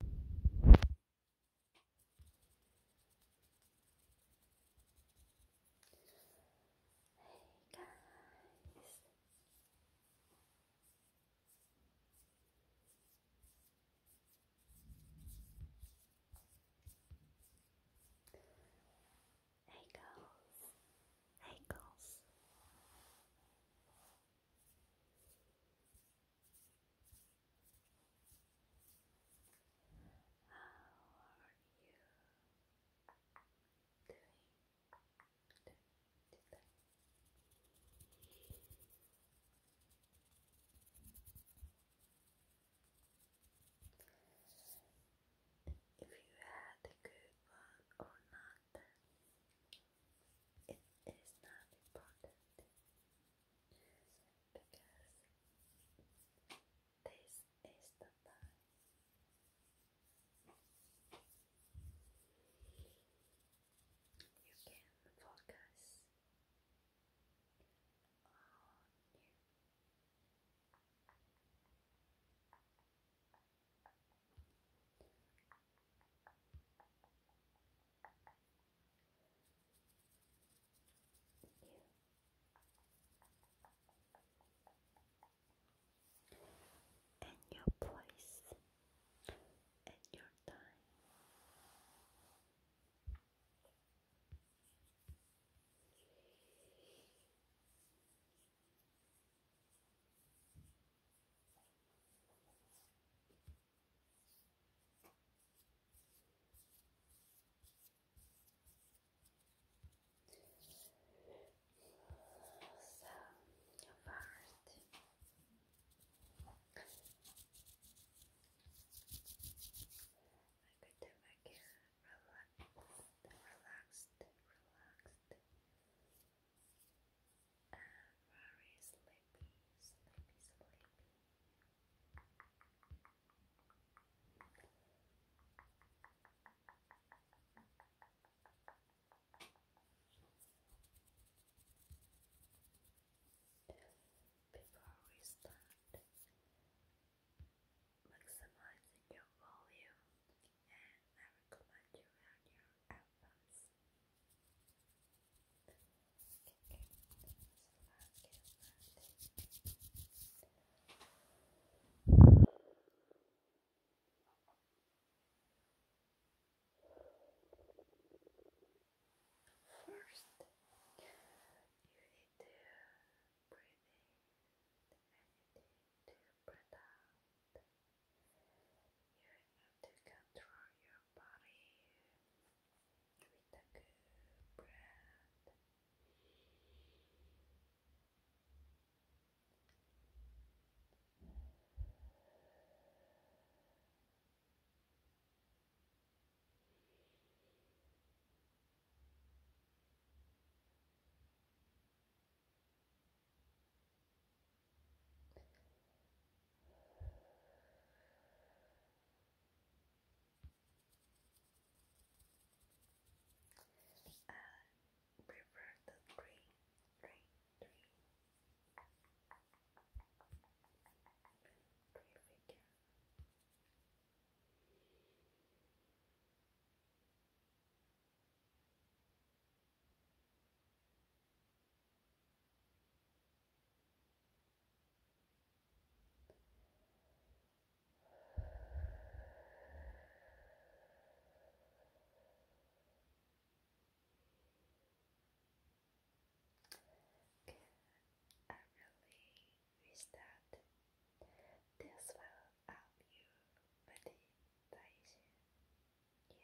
Hey guys. Hey girls. Hey girls. How are you doing today? If you had a good one or not, it is not important because this is the time. You can focus on and your place and your time. So, first, I could make it relaxed, relaxed, relaxed. I'm very sleepy, sleepy, sleepy. Before we start, maximizing your volume, and I recommend you run your albums First, you need to breathe in anything to breathe out. You have to control your body with a good breath. Uh, prefer the green, green, green, green figure. Okay, I really wish that this will help you with the digestion. Yeah.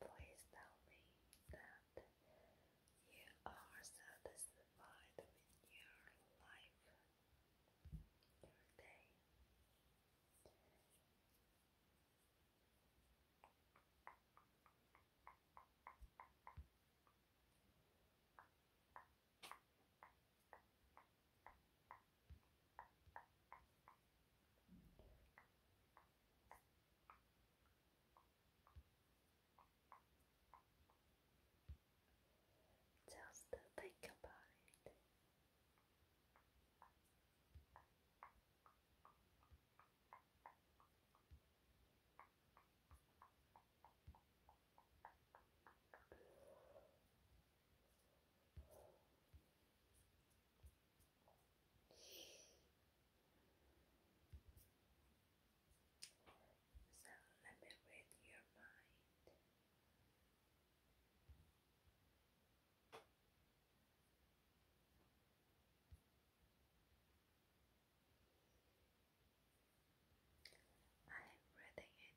please tell me that you are satisfied with your life, your just think about it. So let me read your mind. I'm reading it.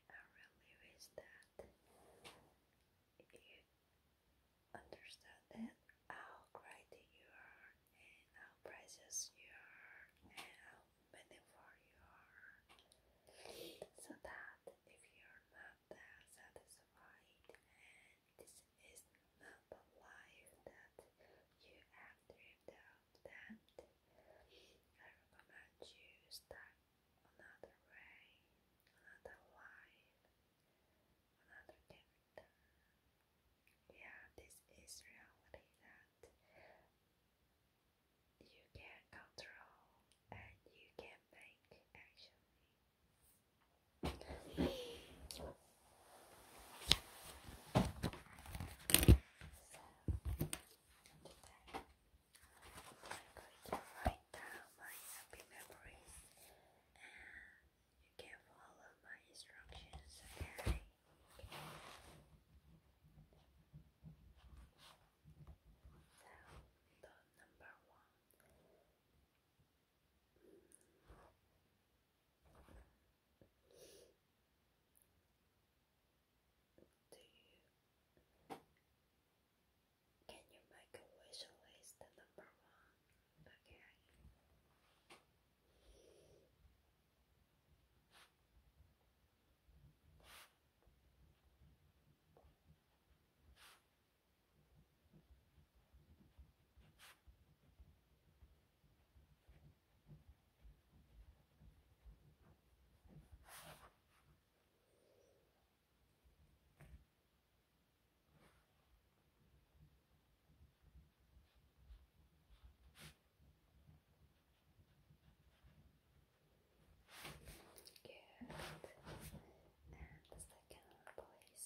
I really wish that you understand that how great you are and how precious you are and how meaningful you are. So that if you're not that satisfied and this is not the life that you have dreamed of, then I recommend you start another way, another life, another kingdom. Yeah, this is reality that you can control and you can make actually. I'm going to write down my happy memories and you can follow my instructions, okay? So, the number one. Do you can you make a wish list number one? Okay. Good. And the second place.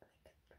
like a brain.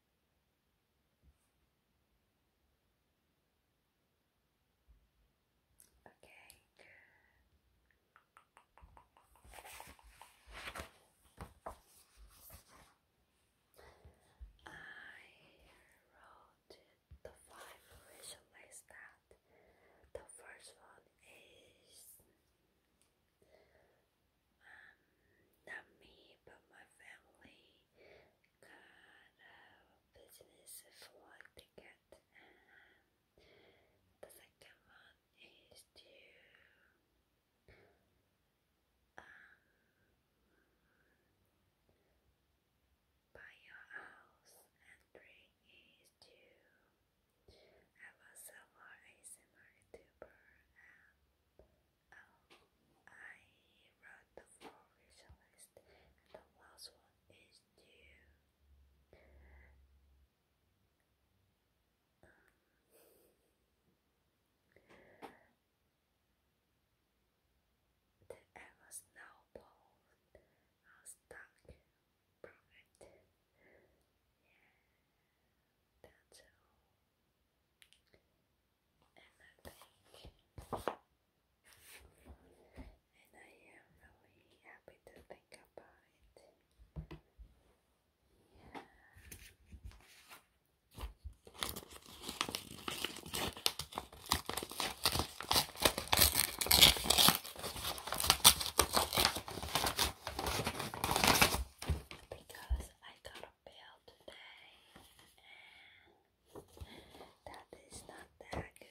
Okay, good. I wrote the five wish list out. The first one is um, not me, but my family got a business for the and um, the second one is to um, buy your house, and three is to. I a more ASMR YouTuber and Oh, I wrote the four wish list, the last one is due. the ever snowball are stuck. Yeah, that's all and I think and I am really happy to think about it. Yeah because I got a bill today and that is not that good.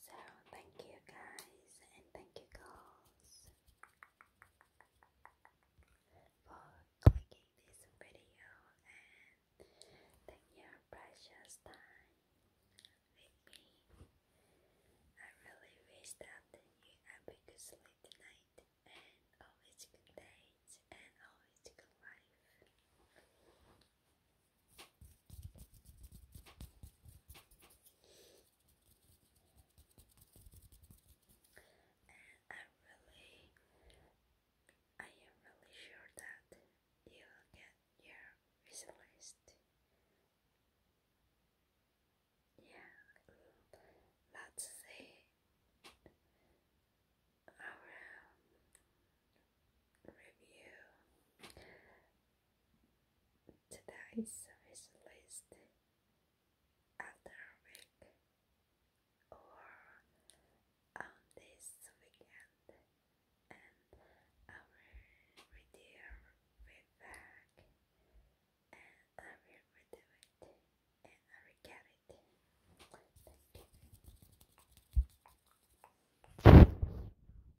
So thank you guys and thank you girls for clicking this video and taking your precious time with me. I really wish that you have a good sleep tonight and always good night and always good life. I really, I am really sure that you'll get your visit list. Yeah, let's see our um, review. Today is released after a week or on this weekend, and I will read feedback, and I will redo and I will get Thank you.